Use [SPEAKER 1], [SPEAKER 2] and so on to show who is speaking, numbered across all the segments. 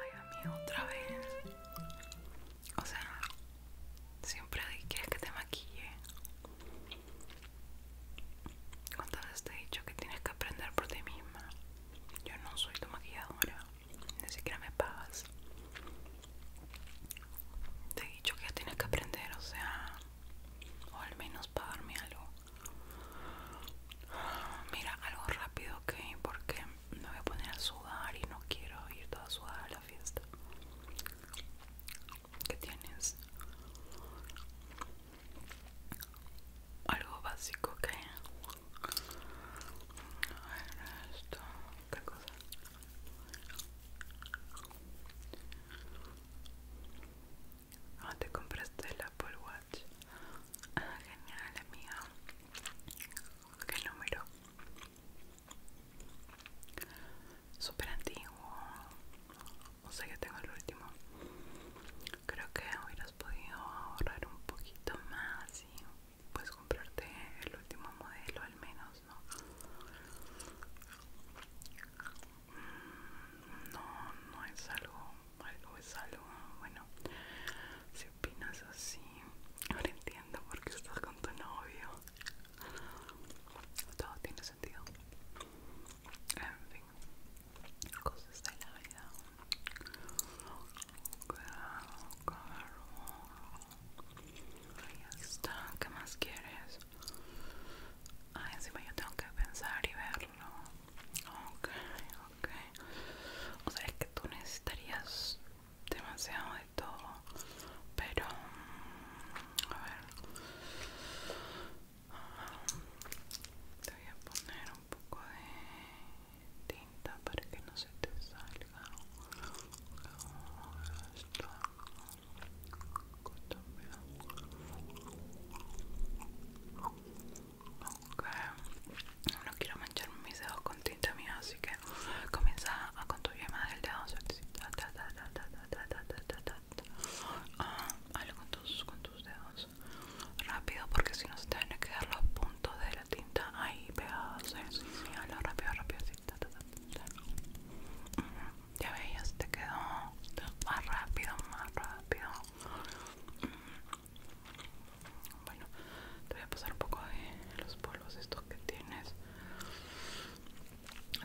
[SPEAKER 1] Ay, amigo, otra vez. O sea, siempre quieres que te maquille. ¿Cuántas veces te he dicho que tienes que aprender por ti misma? Yo no soy tu maquilladora, ni siquiera me pagas. Te he dicho que ya tienes que aprender, o sea, o al menos pagarme algo. Mira, algo rápido, ok, porque me voy a poner a sudar y no quiero ir toda sudada a la fiesta. ¿Qué tienes? Algo básico, ok. A ver, esto, ¿qué cosa? Ah, te compraste el Apple Watch. Ah, genial, amiga. ¿Qué número? Súper antiguo. O sea, que tengo el último. Creo que hubieras podido ahorrar un poquito más ¿sí? Puedes comprarte el último modelo al menos, ¿no? Mm, no, no es algo, algo es algo, bueno, si opinas así, ahora entiendo porque estás con tu novio. Todo tiene sentido. En fin, cosas de la vida. Ahí está, ¿qué más quieres? Ah, encima yo tengo que pensar y verlo. Ok, ok. O sea, es que tú necesitarías demasiado de todo. Pero, mm, a ver. Te voy a poner un poco de tinta para que no se no quiero manchar mis dedos con tinta mía así que comienza a tu yema del dedo ah, con tus, con dedos rápido porque si no se te van a quedar los puntos todo de la tinta ahí pegados. Eh. Sí, sí, habla rápido, rápido. Ya veías, te quedó más rápido, más rápido. Bueno, te voy a pasar un poco de los polvos esto que tienes.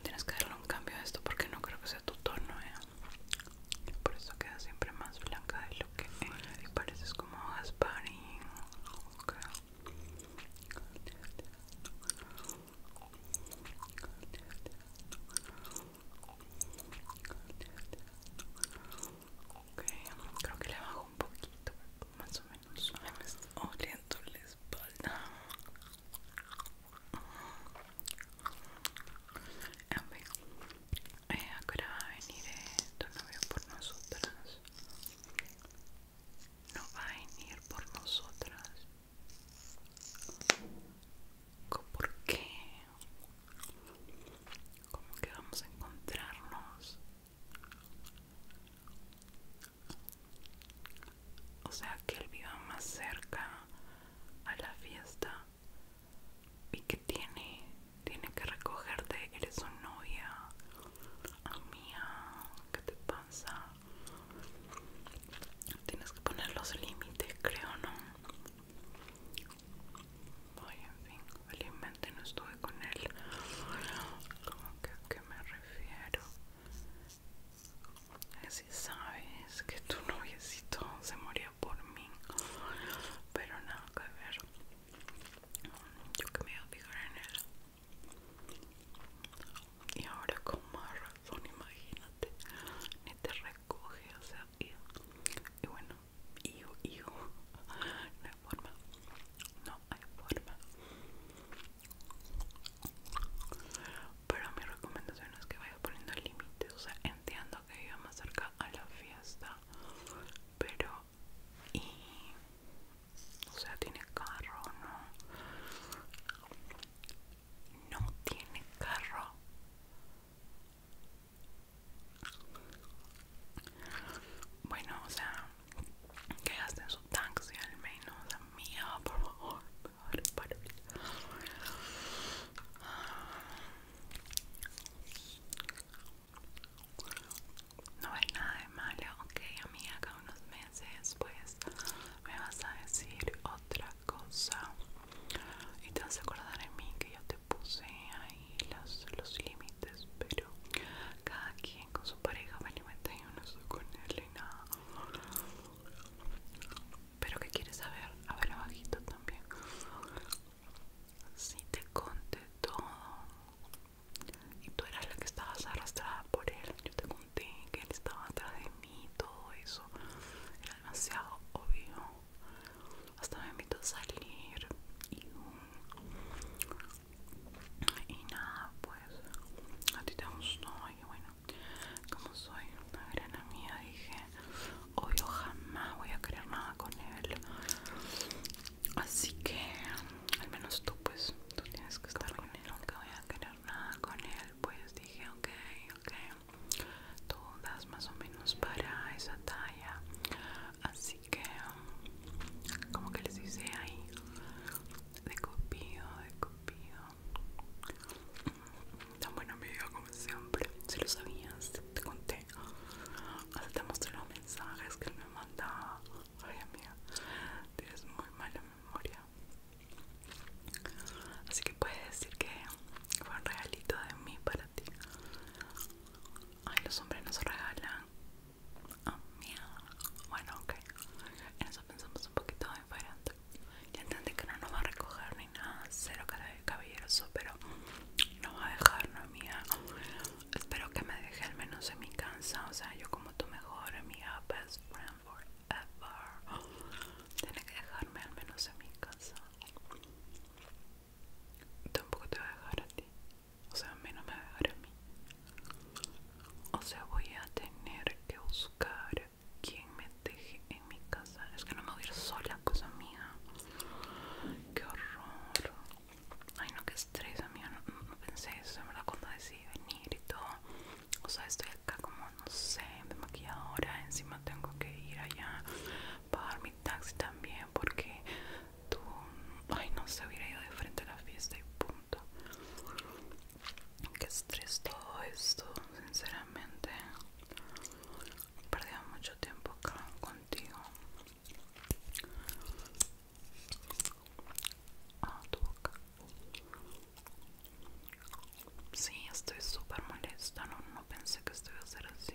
[SPEAKER 1] Tienes que darle un cambio a esto porque no creo que sea tu tono, ¿eh? Por eso queda siempre más blanca de lo que es. Y pareces como Gasparín creo que le bajo un poquito, más o menos. Me está oliendo la espalda. Eh, ¿Ahora va a venir eh, tu novio por nosotras. No va a venir por nosotras. ¿Por qué? ¿Cómo que vamos a encontrarnos? O sea, que él viva más cerca a la fiesta ¿Y qué tiene? Tiene que recogerte, eres su novia. Amiga, ¿qué te pasa? Tienes que poner los límites, creo, ¿no? voy en fin, felizmente no estuve con él. ¿Cómo que a qué me refiero? así sabes que tu noviecito se murió por mí pero nada que ver yo que me voy a fijar en él y ahora con más razón imagínate ni te recoge o sea y, bueno hijo hijo no hay forma no hay forma pero mi recomendación es que vaya poniendo el límite o sea entiendo que iba más cerca a la fiesta pero y o sea tiene carro o no no tiene carro bueno o sea que gasten su taxi al menos la mía ah, por favor. No hay nada de malo, ok mí acá unos meses pues me vas a decir otra cosa y te vas a acordar de mí que yo te puse ahí los, límites, pero cada quien con su pareja me alimenta y yo no estoy con él y nada. Pero que quieres saber, A ver bajito también. Si te conté todo y tú eras la que estabas arrastrada por él, yo te conté que él estaba atrás de mí, todo eso era demasiado obvio. Hasta me invito a salir y, y nada, pues a ti te gustó. Y bueno, como soy una gran amiga, dije: obvio jamás voy a querer nada con él así que al menos tú pues tú tienes que estar con él nunca voy a querer nada con él pues dije ok ok tú das más o menos para esa talla así que como que les dice ahí de copio, de copio Tan buena amiga como siempre. Si lo sabías, te conté. Hasta te mostré los mensajes que él me mandaba. Ay, amiga, tienes muy mala memoria. Así que puedes decir que fue un regalito de mí para ti. Ay, los hombres nos regalan. Ah, mía. Bueno, ok. En eso pensamos un poquito ya entendí que no nos va a recoger ni nada, cero caballeroso, pero no va a dejar, no Espero que me deje al menos en mi casa, o sea, yo como tu mejor amiga, best friend forever. Tiene que dejarme al menos en mi casa. Tampoco te va a dejar a ti, o sea, a mí no me va a dejar a mí. O sea, voy a tener que buscar ¿Quién me deje en mi casa. Es que no me voy a ir sola, cosa mía. Qué horror. Ay, no, qué estrés, amiga. No, pensé eso, me verdad, cuando decidí venir y todo. O sea, estoy acá como, no sé, de ahora, Encima tengo que ir allá, pagar mi taxi también, porque tú, ay, no se sé, hubiera ido de frente a la fiesta y punto. Qué estrés todo esto, sinceramente. Perdí mucho tiempo acá contigo. Ah, tu boca. Sí, estoy súper molesta. No, no pensé que esto iba a ser así.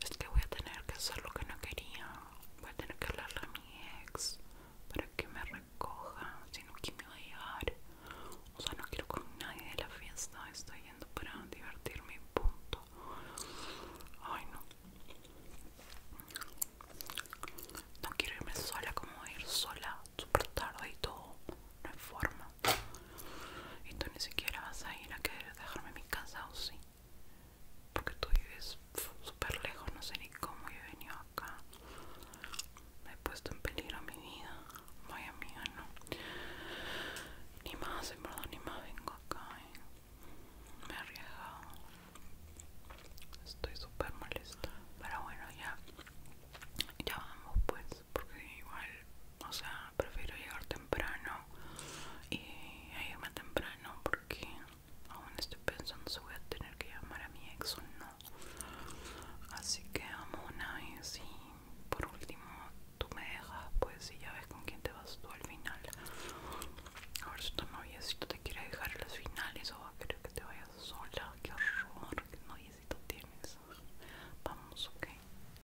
[SPEAKER 1] Es que voy a tener que hacer lo que no quería. Voy a tener que hablarle a mi ex para que me recoja, sino que me va a llegar? O sea, no quiero con nadie de la fiesta. Estoy yendo para divertirme, punto. Ay, no. No quiero irme sola, como ir sola súper tarde y todo. No hay forma. Y tú ni siquiera vas a ir a querer dejarme en mi casa, ¿o sí? porque tú vives súper lejos, no sé ni cómo yo he venido acá. Me he puesto en peligro mi vida. Vaya amiga, no. Ni más, ni más vengo acá. Eh. Me he arriesgado. Estoy súper molesta. Pero bueno, ya. Ya vamos pues, porque igual o sea, prefiero llegar temprano y irme temprano porque aún estoy pensando si voy a tener que llamar a mi ex o no. Así que amo una vez y por último tú me dejas pues si ya ves con quién te vas tú al final. A ver si tu tú te quiere dejar las finales o va a querer que te vayas sola. Qué horror, si noviecito tienes. Vamos, ok.